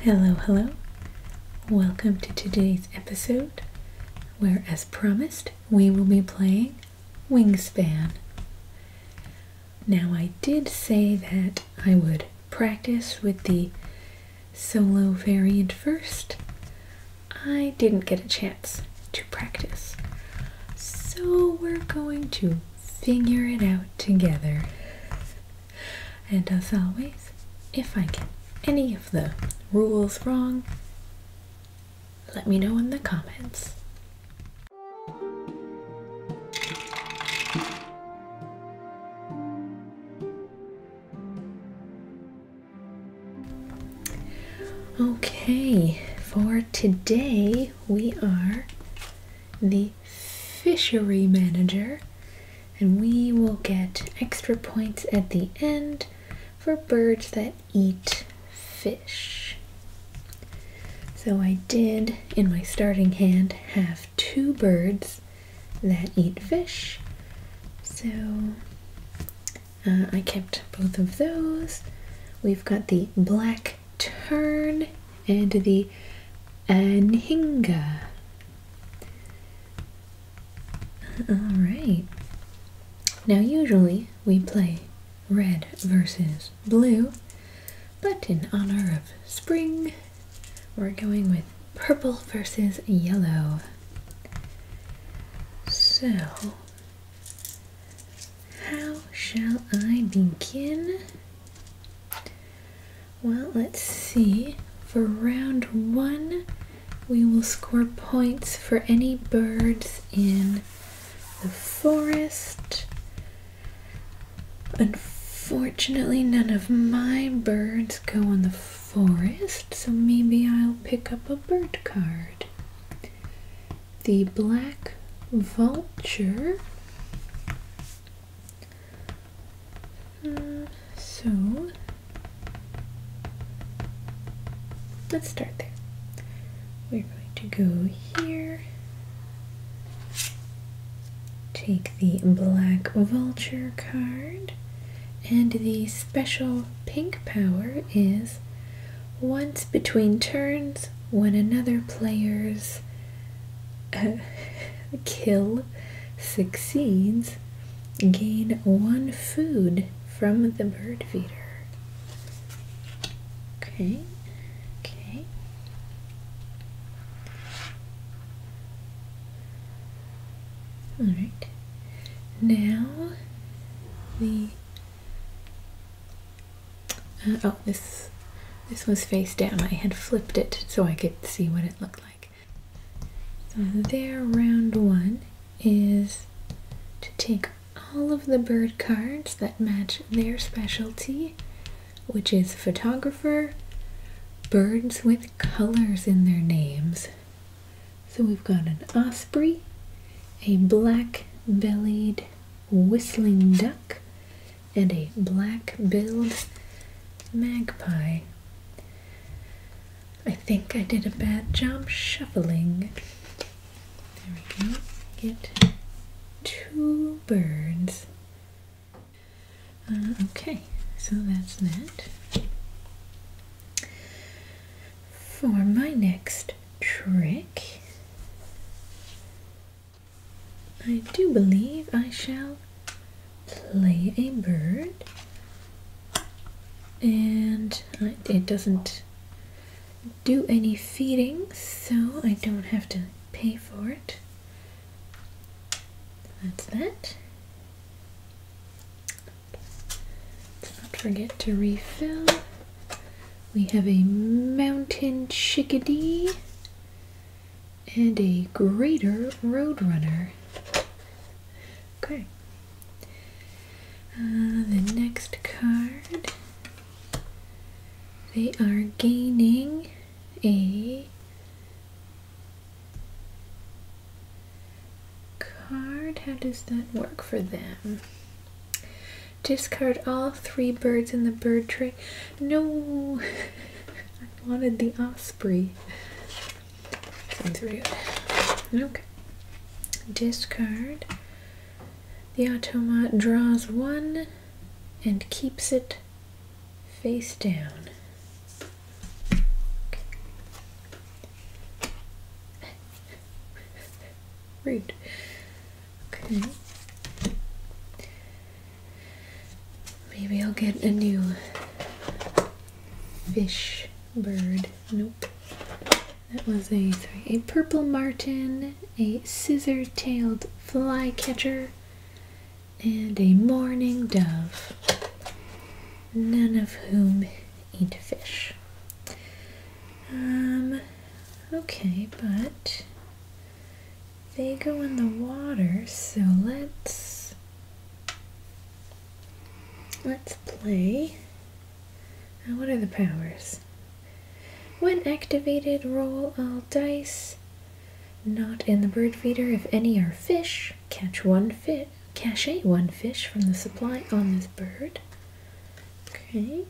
Hello, hello. Welcome to today's episode, where, as promised, we will be playing Wingspan. Now, I did say that I would practice with the solo variant first. I didn't get a chance to practice. So we're going to figure it out together. And as always, if I get any of the rules wrong, let me know in the comments. Okay, for today we are the fishery manager, and we will get extra points at the end for birds that eat fish. So I did, in my starting hand, have two birds that eat fish. So uh, I kept both of those. We've got the black tern and the Anhinga. Alright. Now, usually we play red versus blue, but in honor of spring, we're going with purple versus yellow. So, how shall I begin? Well, let's see. For round one, we will score points for any birds in the forest. Unfortunately, none of my birds go in the forest, so maybe I'll pick up a bird card. The black vulture so let's start there. We're going to go here, take the Black Vulture card, and the special pink power is once between turns, when another player's kill succeeds, gain one food from the bird feeder. Okay, okay. All right. Now the uh, oh this this was face down. I had flipped it so I could see what it looked like. So there, round one is to take all of the bird cards that match their specialty, which is photographer, birds with colors in their names. So we've got an osprey, a black bellied whistling duck, and a black-billed magpie. I think I did a bad job shuffling. There we go. Get two birds. Uh, okay, so that's that. For my next trick, I do believe I shall play a bird. And it doesn't do any feeding, so I don't have to pay for it. That's that. Let's not forget to refill. We have a mountain chickadee and a greater roadrunner. Okay. Uh, the next card, they are gaining a card. How does that work for them? Discard all three birds in the bird tray. No! wanted the osprey. Okay. Discard. The automa draws one and keeps it face down. Rude. Okay. Maybe I'll get a new fish bird. Nope. That was a sorry, a purple martin, a scissor-tailed flycatcher, and a mourning dove. None of whom eat fish. Um. Okay, but they go in the water, so let's let's play. what are the powers? When activated, roll all dice. Not in the bird feeder. If any are fish, catch one fit cache one fish from the supply on this bird. Okay.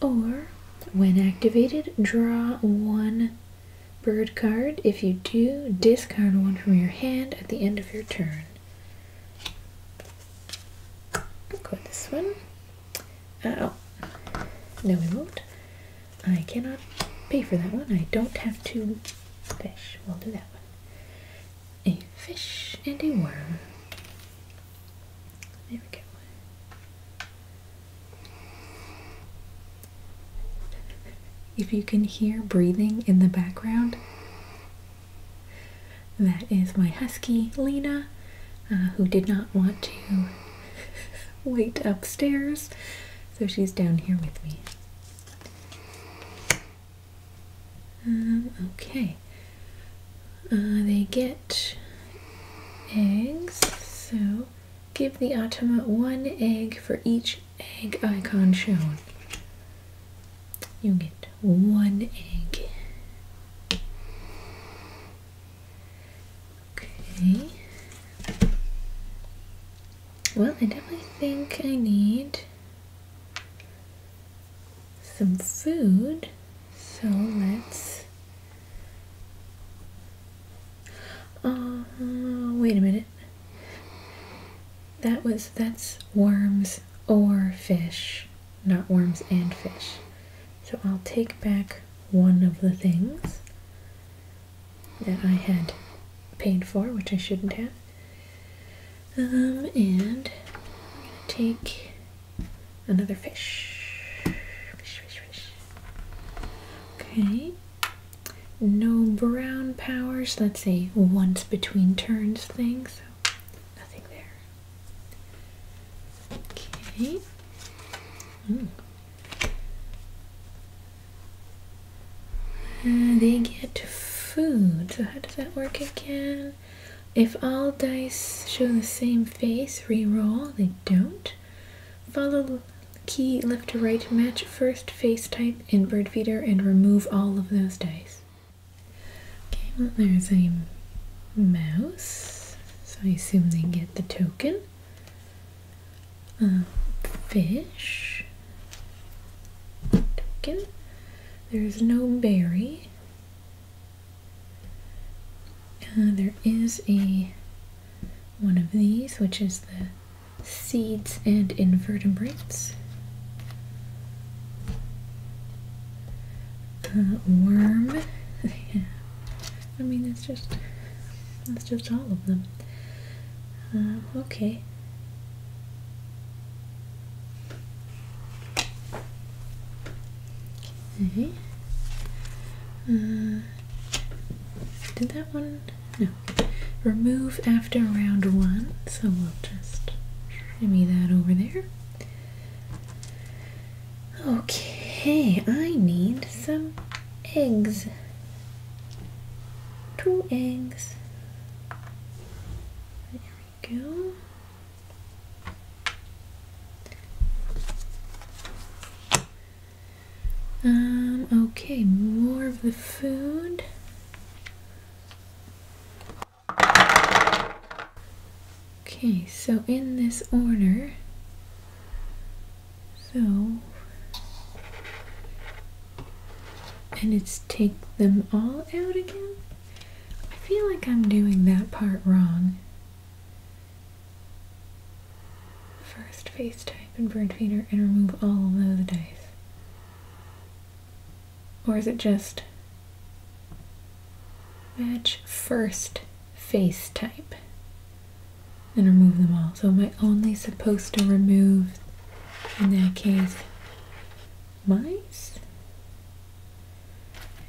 Or when activated, draw one Bird card. If you do, discard one from your hand at the end of your turn. I'll go with this one. oh. No, we won't. I cannot pay for that one. I don't have to fish. We'll do that one. A fish and a worm. There we go. If you can hear breathing in the background, that is my husky Lena, uh, who did not want to wait upstairs, so she's down here with me. Um, okay, uh, they get eggs, so Give the automa one egg for each egg icon shown. You get one egg. Okay. Well, I definitely think I need some food, so let's Oh, wait a minute. That was, that's worms or fish, not worms and fish. So I'll take back one of the things that I had paid for, which I shouldn't have. Um, and I'm going to take another fish. Okay. No brown powers. Let's say once between turns thing, so nothing there. Okay. Hmm. Uh, they get food. So how does that work again? If all dice show the same face, re-roll. They don't. Follow Key left to right match first face type in bird feeder and remove all of those dice. Okay, well there's a mouse, so I assume they get the token. fish token. There's no berry. Uh, there is a one of these, which is the seeds and invertebrates, worm. I mean, that's just that's just all of them. Uh, okay. Okay. Uh, did that one no. Remove after round one. So we'll just shimmy that over there. Okay, I need some eggs. Two eggs. There we go. Um, okay, more of the food. Okay, so in this order, so, and it's take them all out again? I feel like I'm doing that part wrong. First face type and bird feeder and remove all of the dice. Or is it just match first face type and remove them all? So am I only supposed to remove, in that case, mice?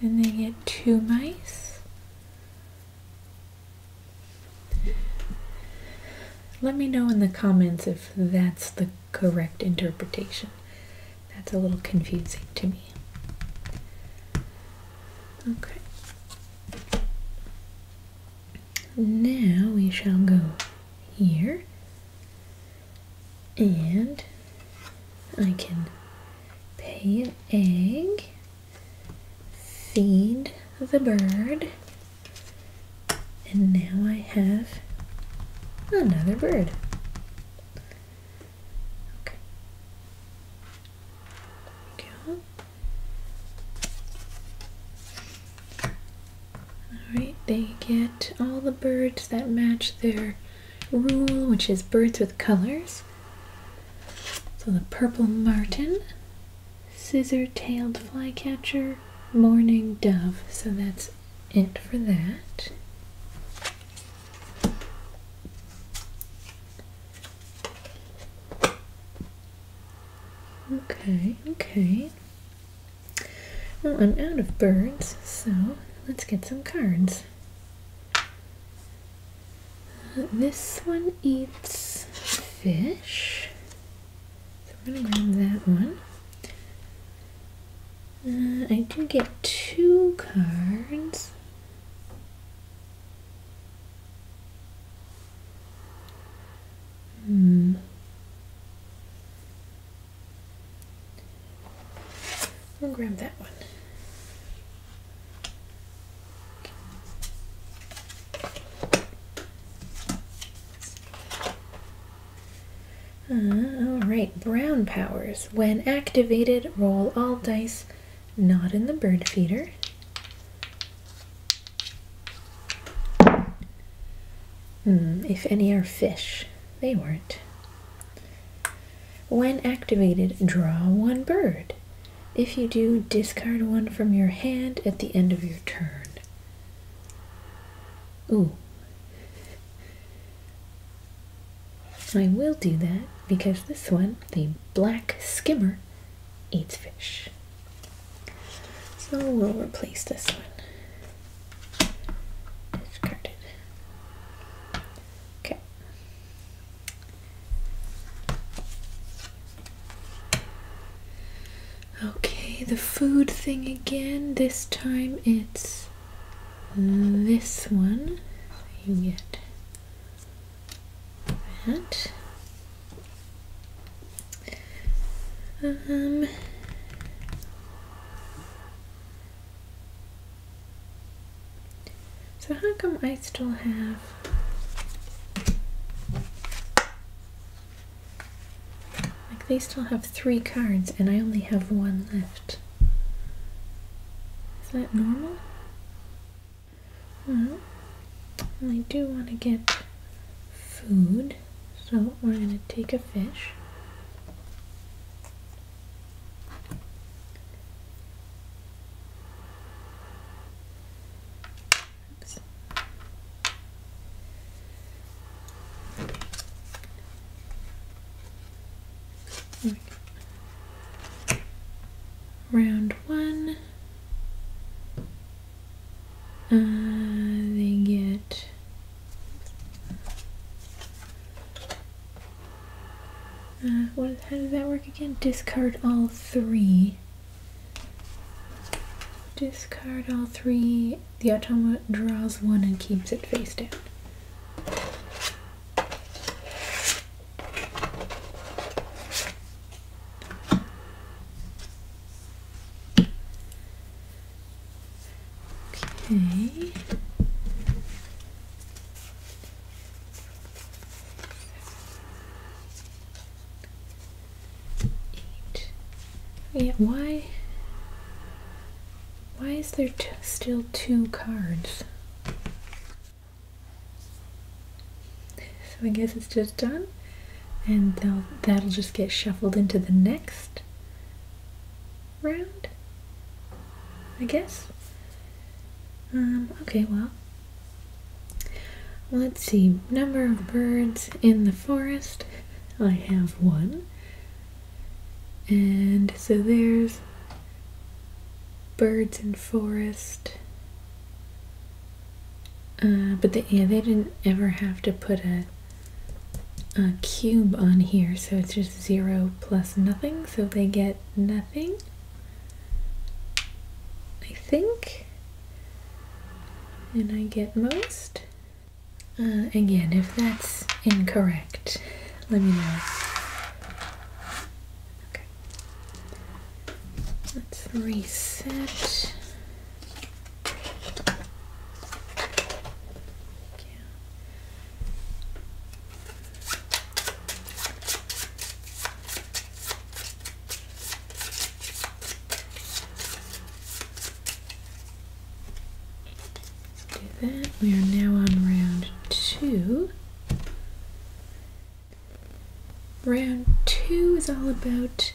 And they get two mice? Let me know in the comments if that's the correct interpretation. That's a little confusing to me. Okay. Now we shall go here and I can pay an egg, feed the bird, and now I have another bird. Okay. Go. Alright, they get all the birds that match their rule, which is birds with colors. So the purple martin scissor-tailed flycatcher, mourning dove. So that's it for that. Okay, okay. Well, I'm out of birds, so let's get some cards. Uh, this one eats fish. So I'm going to grab that one. Uh, I do get two cards. Hmm. gonna grab that one. Uh, Alright, brown powers. When activated, roll all dice not in the bird feeder. Hmm, if any are fish. They weren't. When activated, draw one bird. If you do, discard one from your hand at the end of your turn. Ooh. I will do that because this one, the black skimmer, eats fish. So we'll replace this one. Discarded. Okay. Okay, the food thing again. This time it's this one. So you get that. Um, so how come I still have like they still have three cards and I only have one left. Is that normal? Well, I do want to get food, so we're going to take a fish. Round one, uh, they get uh, what, how does that work again? Discard all three. Discard all three. The automa draws one and keeps it face down. Okay. Yeah, why? Why is there still two cards? So I guess it's just done, and that'll just get shuffled into the next round, I guess. Um, okay, well, let's see. Number of birds in the forest. I have one. And so there's birds and forest. Uh, but they, yeah, they didn't ever have to put a cube on here, so it's just zero plus nothing, so they get nothing. I think. And I get most. Uh, again, if that's incorrect, let me know. Okay. Let's reset let We are now on round two. Round two is all about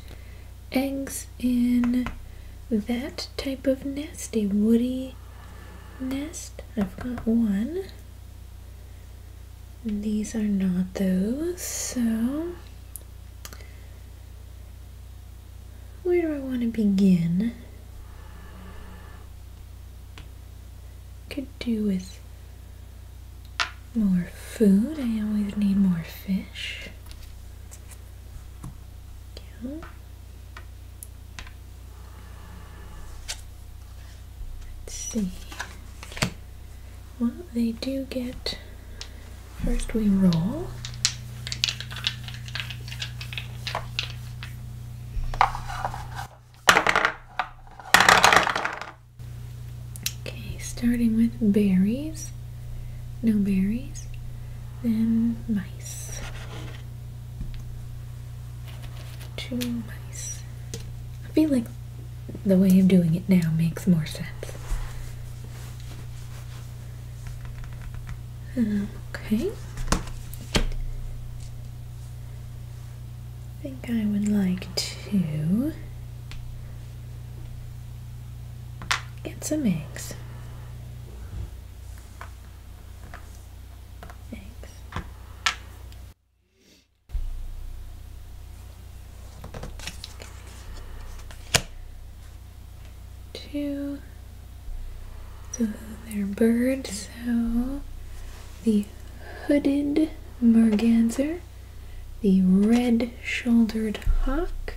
eggs in that type of nest, a woody nest. I've got one. These are not those, so where do I want to begin? Could do with more food. I always need more fish. Let's see. Well, they do get First we roll. Okay, starting with berries. No berries. Then mice. Two mice. I feel like the way of doing it now makes more sense okay. I think I would like to get some eggs. Eggs two. So they're birds. So the hooded merganser, the red-shouldered hawk,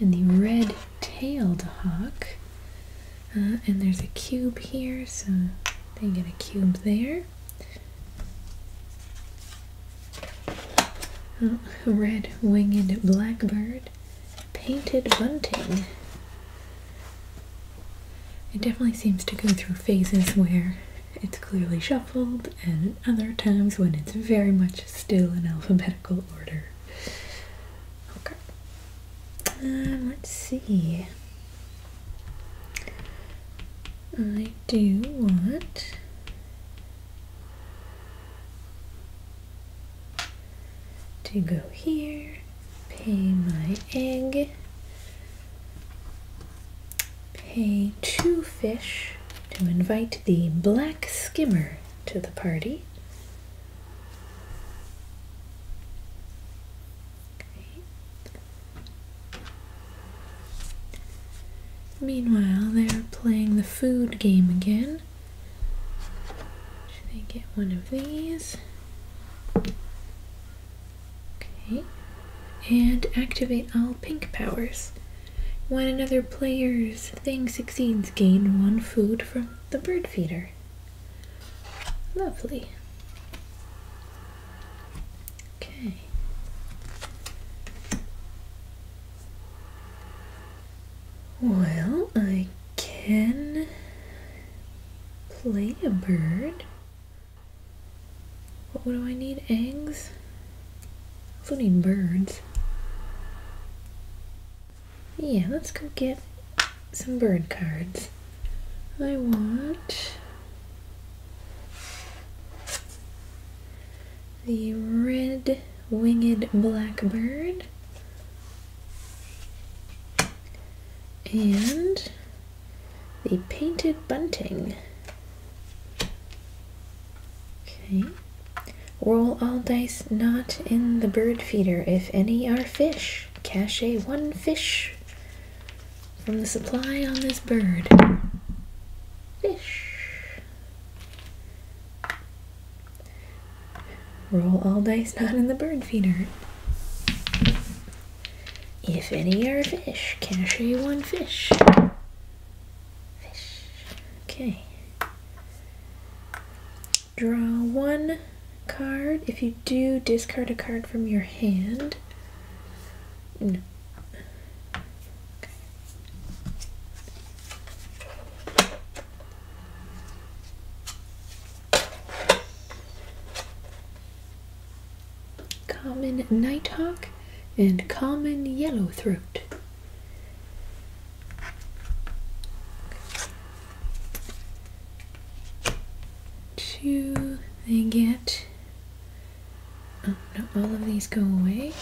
and the red-tailed hawk. Uh, and there's a cube here, so they get a cube there. Oh, red winged blackbird, painted bunting. It definitely seems to go through phases where it's clearly shuffled, and other times when it's very much still in alphabetical order. Okay. Um, let's see. I do want to go here, pay my egg, pay two fish to invite the black skimmer to the party. Meanwhile, they're playing the food game again one. Should I get one of these? Okay. And activate all pink powers. When another player's thing succeeds, gain one food from the bird feeder. Lovely. Okay. Well, I can play a bird. What do I need? Eggs? I also need birds. Yeah, let's go get some bird cards. I want the red winged blackbird, and the painted bunting. Okay. Roll all dice not in the bird feeder if any are fish. Cache one fish from the supply on this bird. Fish. Roll all dice not in the bird feeder. If any are fish, can I show you one fish? Fish. Okay. Draw one card. If you do, discard a card from your hand. No. Okay. Common nighthawk and common yellowthroat. Two, they get. Oh no, all of these go away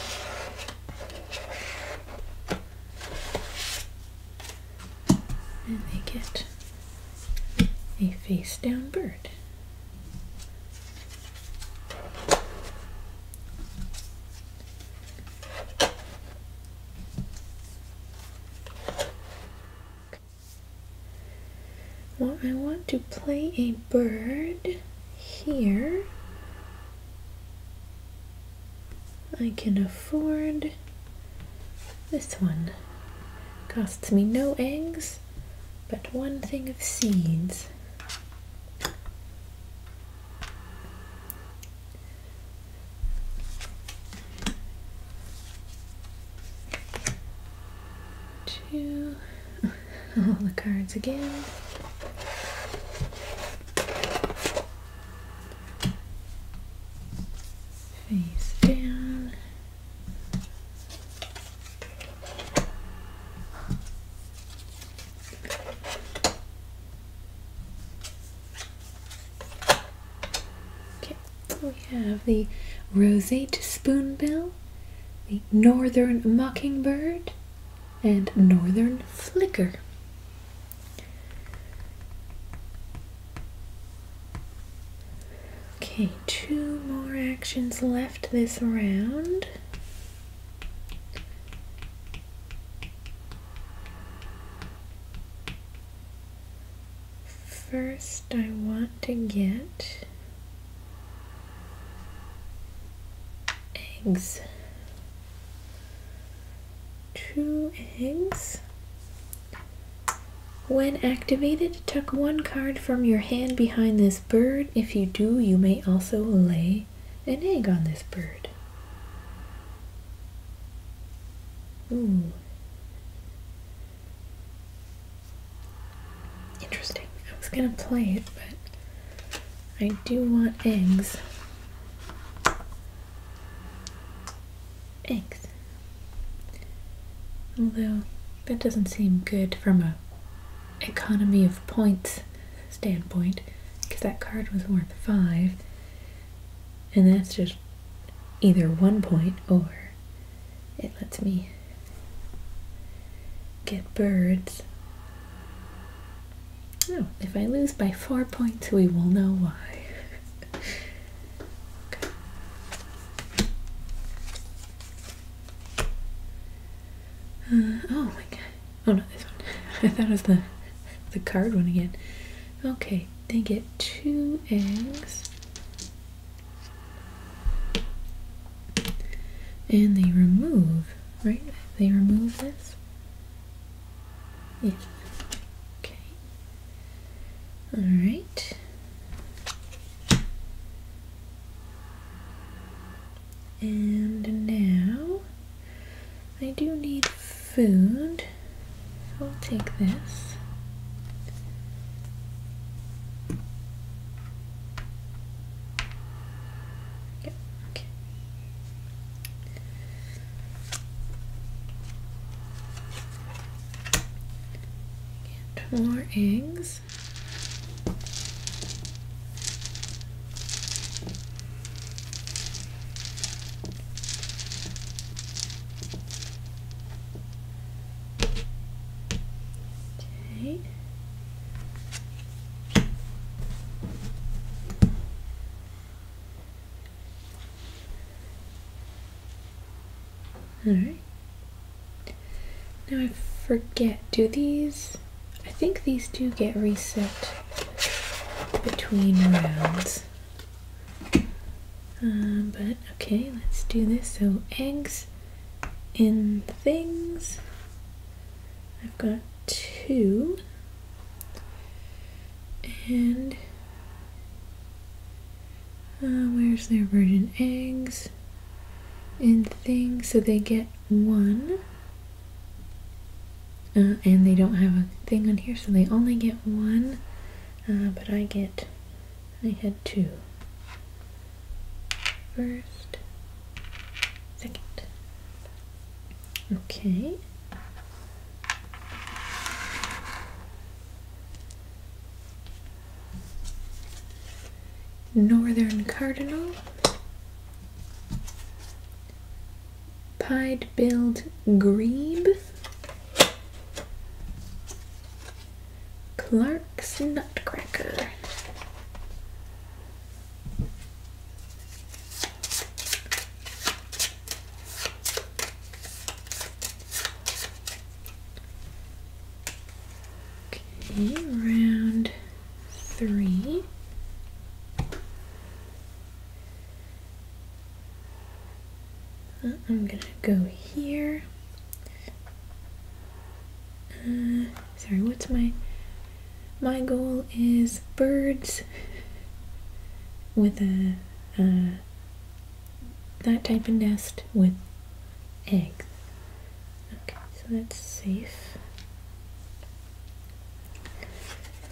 and they get a face down bird. Well, I want to play a bird here I can afford this one. Costs me no eggs, but one thing of seeds. Two, all the cards again face down. Okay, we have the roseate spoonbill, the northern mockingbird, and northern flicker. Okay, two more actions left this round. First, I want to get eggs two eggs. When activated, tuck one card from your hand behind this bird. If you do, you may also lay an egg on this bird. Ooh. Interesting. I was going to play it, but I do want eggs. Eggs. Although that doesn't seem good from a economy of points standpoint because that card was worth five and that's just either one point or it lets me get birds if I lose by four points, we will know why. Uh, oh my god. Oh no, this one. I thought it was the, the card one again. Okay, they get two eggs. And they remove, right? They remove this. Yeah. Okay. All right. And now I do need food. I'll take this. okay. Two more eggs. Okay. Alright. Now I forget, do these, I think these do get reset between rounds. Um, but okay, let's do this. So eggs in things. I've got two. And uh, where's their virgin eggs and things? So they get one. Uh, and they don't have a thing on here, so they only get one. Uh, but I get, I had two. First, second, Okay. Northern Cardinal. Pied-billed Grebe. Clark's Nutcracker. Okay, round three. Uh, I'm gonna go here. Uh, sorry, what's my my goal is birds with a, that type of nest with eggs. Okay, so that's safe.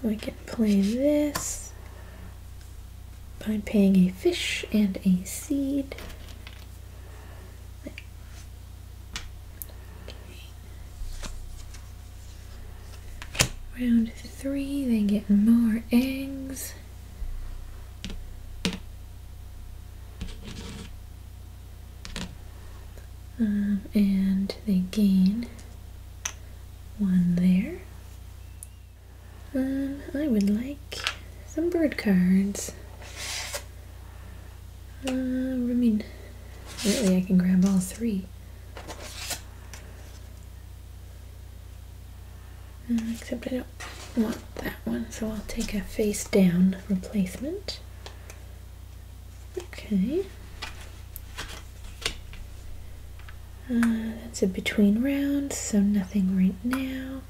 So I can play this by paying a fish and a seed. Round three, they get more eggs. Um, and they gain one there. Um, I would like some bird cards. Uh, I mean, really, I can grab all three. Mm, except I don't want that one, so I'll take a face down replacement. Okay. Uh, that's a between round, so nothing right now.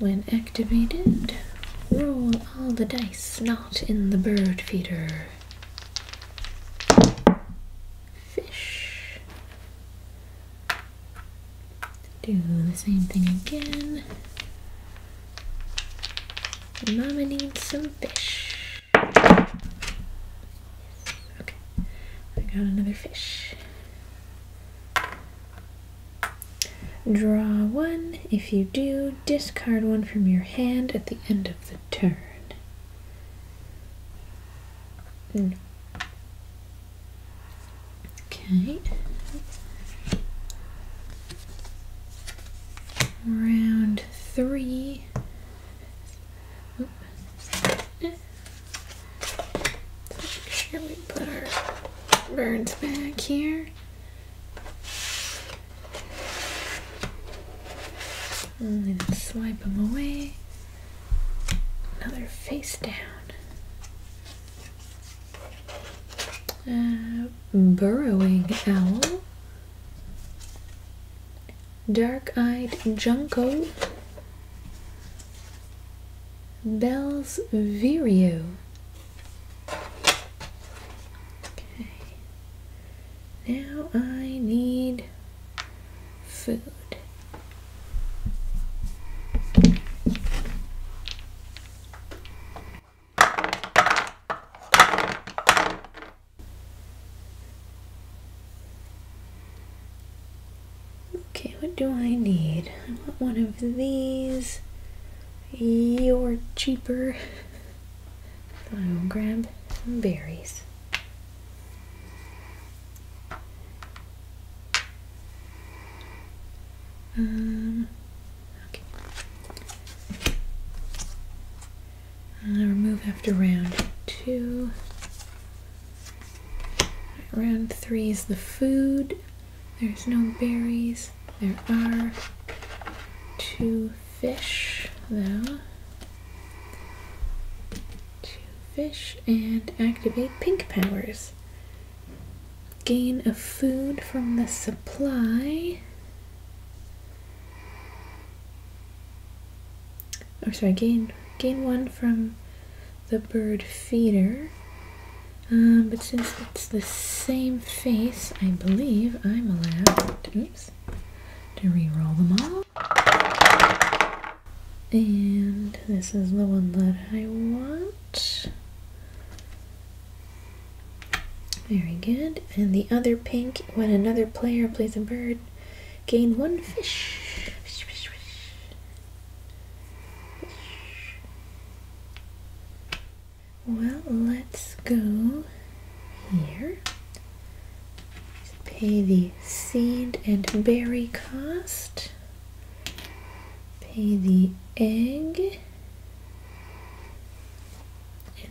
When activated, roll all the dice not in the bird feeder fish. Do the same thing again. Mama needs some fish. Okay, I got another fish. Draw one. If you do, discard one from your hand at the end of the turn. Okay. Round three. Make sure we put our birds back here. And then swipe them away. Another face down. Uh, burrowing owl. Dark-eyed Junco. Bell's Vireo. Okay. Now I need food. Okay, what do I need? I want one of these. You're cheaper. I will grab some berries. Um, okay. i remove after round two. Round three is the food. There's no berries. There are two, fish though. Two fish and activate pink powers. Gain a food from the supply. Or sorry, gain gain one from the bird feeder. Um, but since it's the same face, I believe I'm allowed to re-roll them all. And this is the one that I want. Very good. And the other pink, when another player plays a bird, gain one fish. Well, let's go here. Pay the seed and berry cost. Pay the egg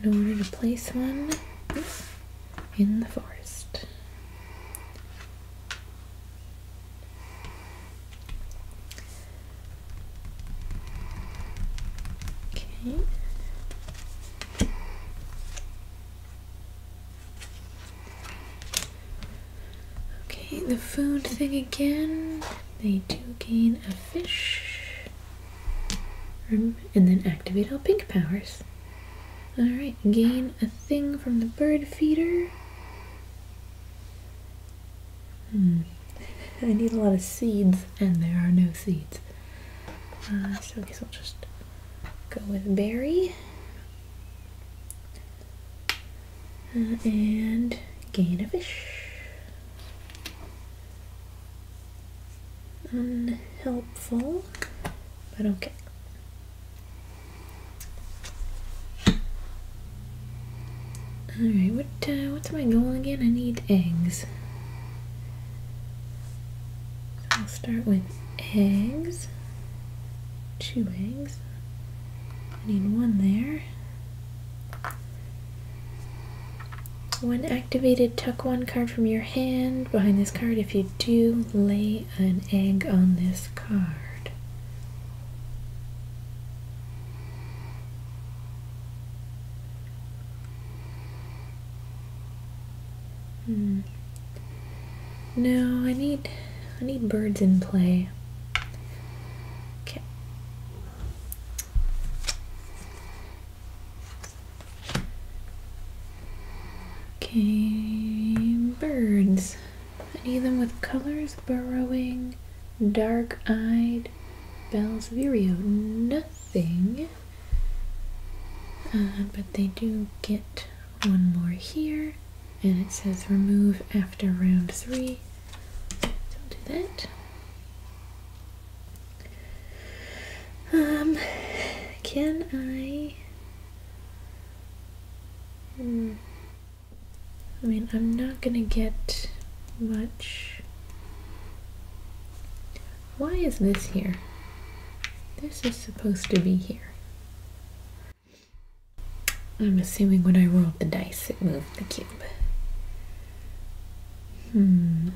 in order to place one in the forest. Okay. Okay, the food thing again. They do gain a fish. And then activate all pink powers. Alright, gain a thing from the bird feeder. Hmm. I need a lot of seeds, and there are no seeds. Uh, so I guess I'll just go with berry uh, and gain a fish. Unhelpful, but okay. All right, what uh, what's my goal again? I need eggs. So I'll start with eggs, two eggs. I need one there. One activated, tuck one card from your hand behind this card. If you do, lay an egg on this card. Hmm. No, I need I need birds in play. Okay. Okay, birds. I need them with colors burrowing, dark-eyed, Bells Vireo. Oh, nothing. Uh, but they do get one more here and it says remove after round three so I'll do that um can I hmm, I mean I'm not gonna get much why is this here? This is supposed to be here. I'm assuming when I rolled the dice, it moved the cube. Hmm.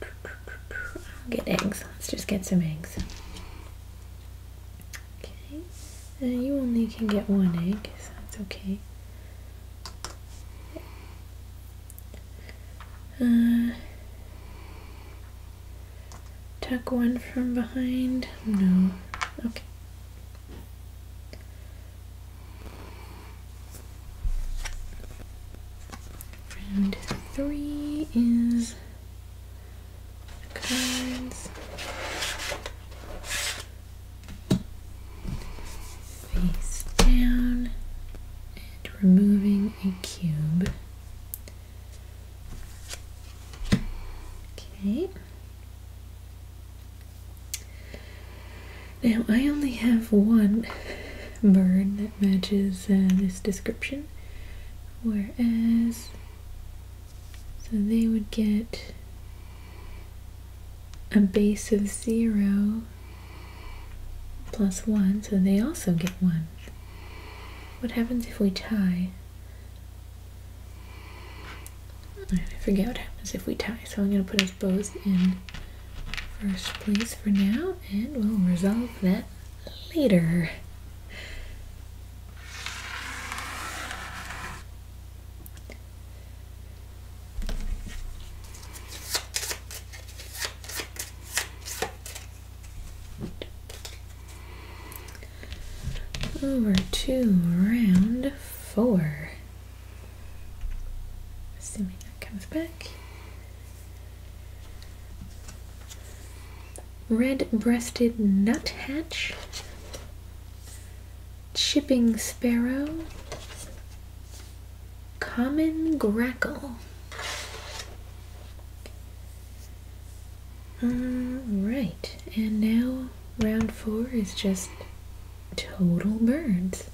I'll get eggs. Let's just get some eggs. Okay. Uh, you only can get one egg, that's okay. Uh, Tuck one from behind? No. Okay. Round three is cards. Face down and removing a cube. Okay. Now I only have one bird that matches uh, this description, whereas so they would get a base of zero plus one, so they also get one. What happens if we tie? I forget what happens if we tie, so I'm going to put us both in first place for now, and we'll resolve that later. Over to round four. Assuming that comes back. Red breasted nuthatch, chipping sparrow, common grackle, uh, right, and now round four is just total birds.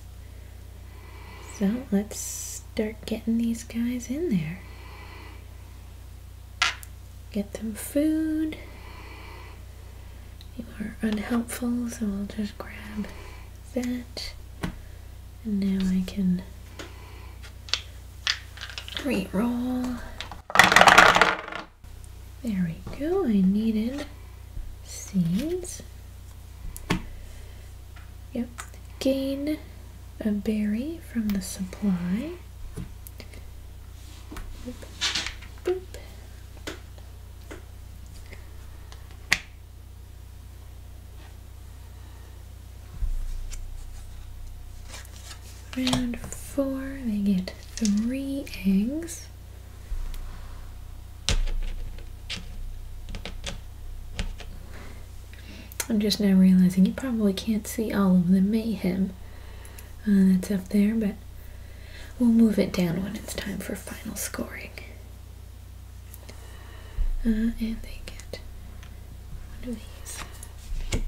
So let's start getting these guys in there. Get them food. You are unhelpful, so I'll just grab that. And now I can re-roll. There we go, I needed seeds. Yep, gain a berry from the supply. Round four, they get three eggs. I'm just now realizing you probably can't see all of the mayhem uh, that's up there, but we'll move it down when it's time for final scoring. Uh, and they get one of these.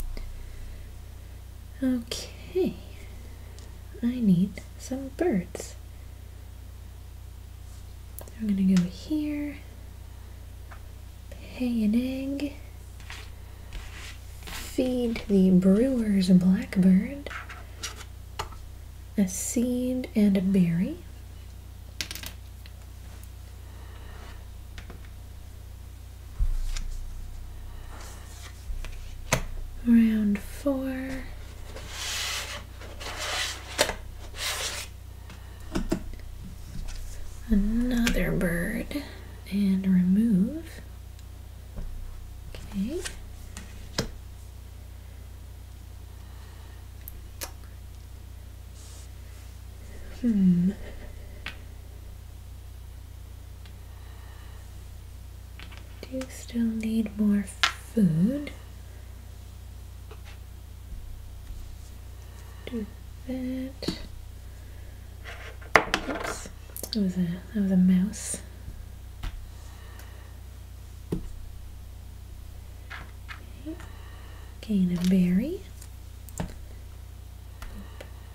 Okay. I need some birds. I'm gonna go here. Pay an egg. Feed the brewer's blackbird. A seed and a berry. Round four. Another bird and remove. Okay. Hmm. Do you still need more food? Do that. Oops, that was a that was a mouse. Okay. Gain a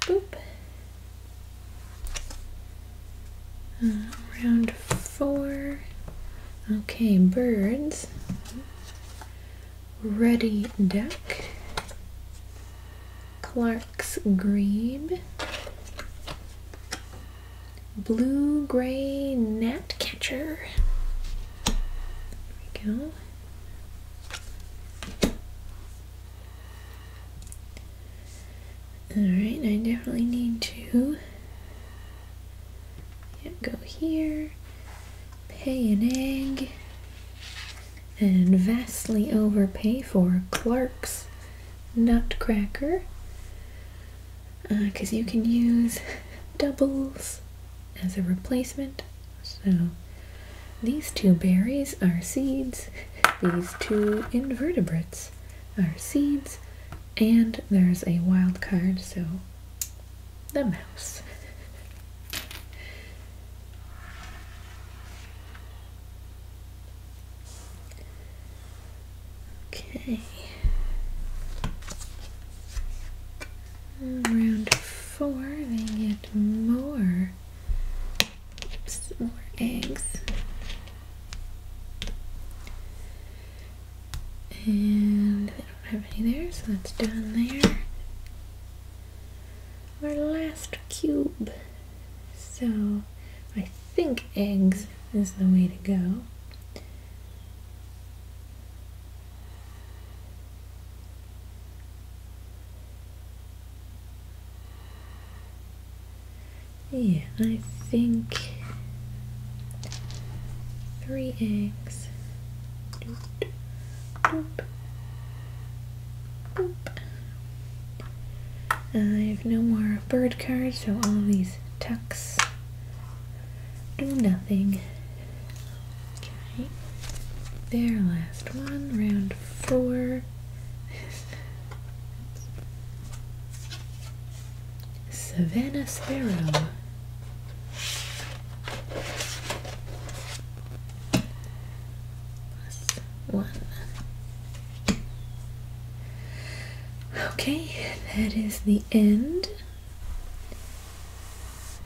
Boop. Uh, round four. Okay, birds. Ready duck. Clark's grebe. Blue-gray gnatcatcher. There we go. Alright, I definitely need to go here, pay an egg, and vastly overpay for Clark's Nutcracker. Because uh, you can use doubles as a replacement so these two berries are seeds, these two invertebrates are seeds, and there's a wild card, so the mouse. okay. Round four, they get more, more eggs. And they don't have any there, so that's done there. Our last cube. So I think eggs is the way to go. Yeah, I think three eggs. Doop, doop, boop. I have no more bird cards, so all these tucks do nothing. Okay. there, last one, round four. Savannah Sparrow. Plus one. Okay, that is the end.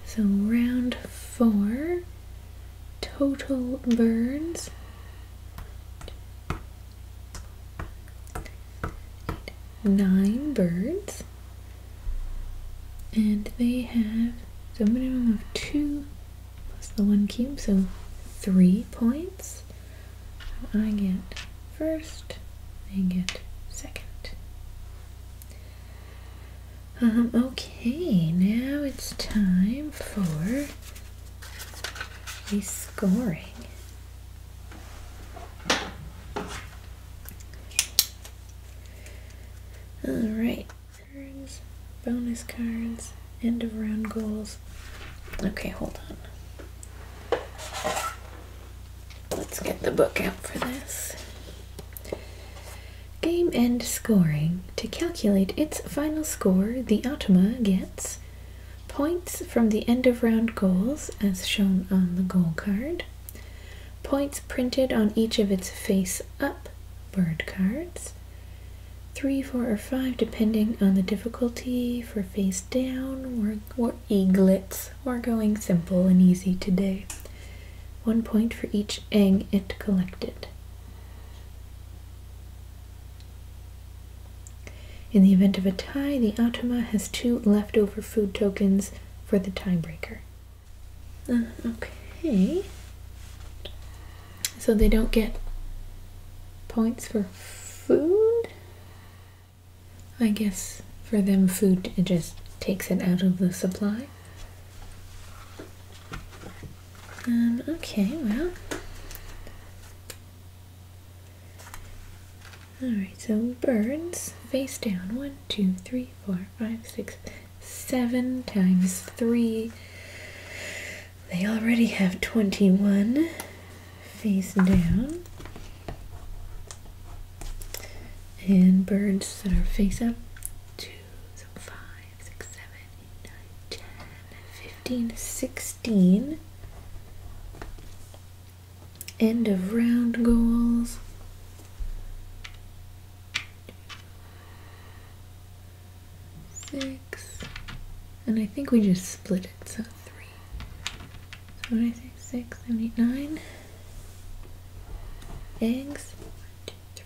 So round four total burns. Nine birds, and they have so a minimum of two plus the one cube, so three points. I get first, they get second. Um, okay, now it's time for the scoring. Alright, bonus cards, end of round goals. Okay, hold on. Let's get the book out for this. Game end scoring. To calculate its final score, the Automa gets points from the end of round goals, as shown on the goal card, points printed on each of its face up bird cards, three, four, or five, depending on the difficulty for face down or, or eaglets. We're going simple and easy today. One point for each each egg it collected. In the event of a tie, the Automa has two leftover food tokens for the tiebreaker. Uh, okay. So they don't get points for food? I guess for them, food it just takes it out of the supply. Um, okay, well. Alright, so birds face down. One, two, three, four, five, six, seven times three. They already have 21 face down. And birds that are face up, two, so five, six, seven, eight, nine, 10, 15, 16. End of round goals. Six. And I think we just split it, so three. So do I say six, seven, eight, nine eggs. One, two, three,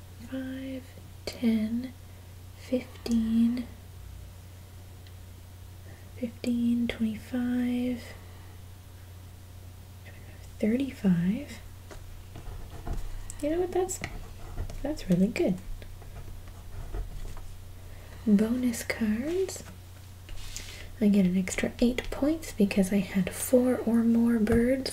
5, 10, 15, 15, 25, 35. You know what? That's that's really good. Bonus cards. I get an extra 8 points because I had 4 or more birds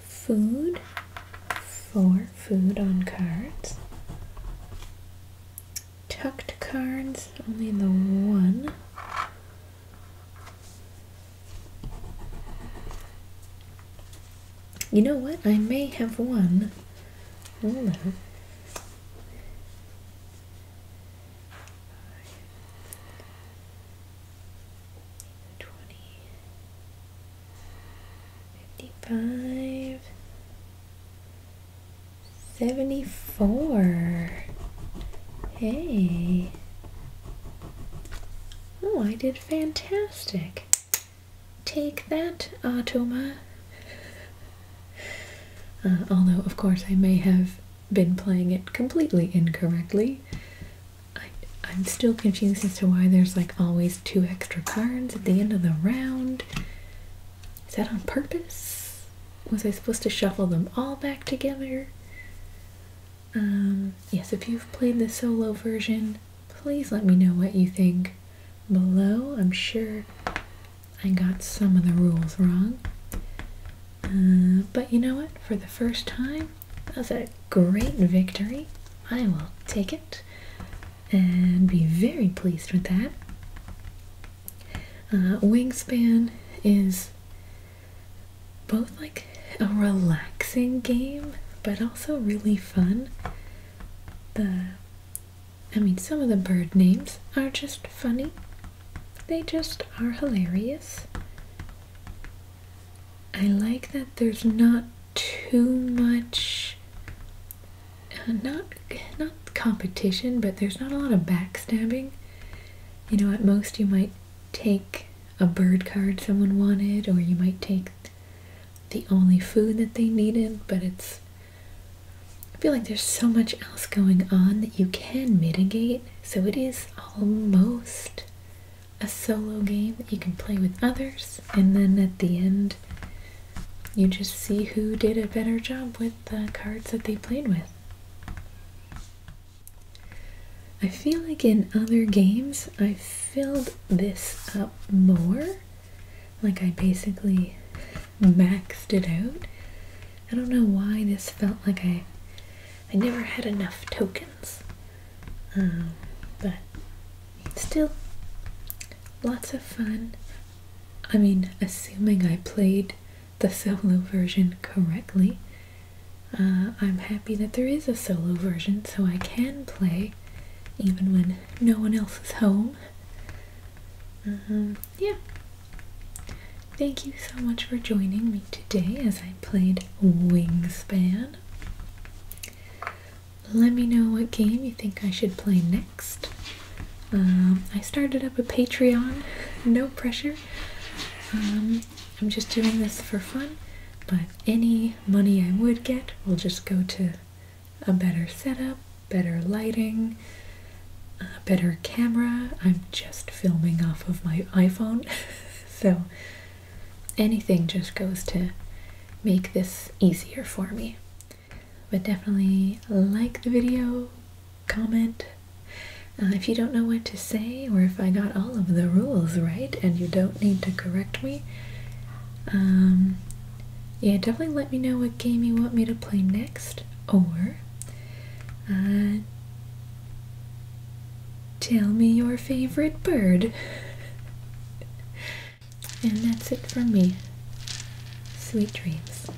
Food, for food on cards. Tucked cards, only the one. You know what? I may have one. Hold on. 74. Hey. Oh, I did fantastic. Take that, Atoma. Uh, although, of course, I may have been playing it completely incorrectly. I, I'm still confused as to why there's like always two extra cards at the end of the round. Is that on purpose? Was I supposed to shuffle them all back together? Um, yes, if you've played the solo version, please let me know what you think below. I'm sure I got some of the rules wrong. Uh, but you know what? For the first time, that was a great victory. I will take it and be very pleased with that. Uh, Wingspan is both like a relaxing game, but also really fun. The I mean, some of the bird names are just funny, they just are hilarious. I like that there's not too much uh, not not competition, but there's not a lot of backstabbing. You know, at most you might take a bird card someone wanted or you might take the only food that they needed, but it's I feel like there's so much else going on that you can mitigate. So it is almost a solo game that you can play with others, and then at the end, you just see who did a better job with the cards that they played with. I feel like in other games, I filled this up more. Like I basically maxed it out. I don't know why this felt like I I never had enough tokens. Um, but still, lots of fun. I mean, assuming I played the solo version correctly, uh, I'm happy that there is a solo version so I can play even when no one else is home. Um, yeah, Thank you so much for joining me today as I played Wingspan. Let me know what game you think I should play next. Um, I started up a Patreon, no pressure. Um, I'm just doing this for fun, but any money I would get will just go to a better setup, better lighting, a better camera. I'm just filming off of my iPhone. so anything just goes to make this easier for me. But definitely like the video, comment. if you don't know what to say, or if I got all of the rules right and you don't need to correct me, um, yeah, definitely let me know what game you want me to play next, or uh, Tell me your favorite bird. and that's it from me. Sweet dreams.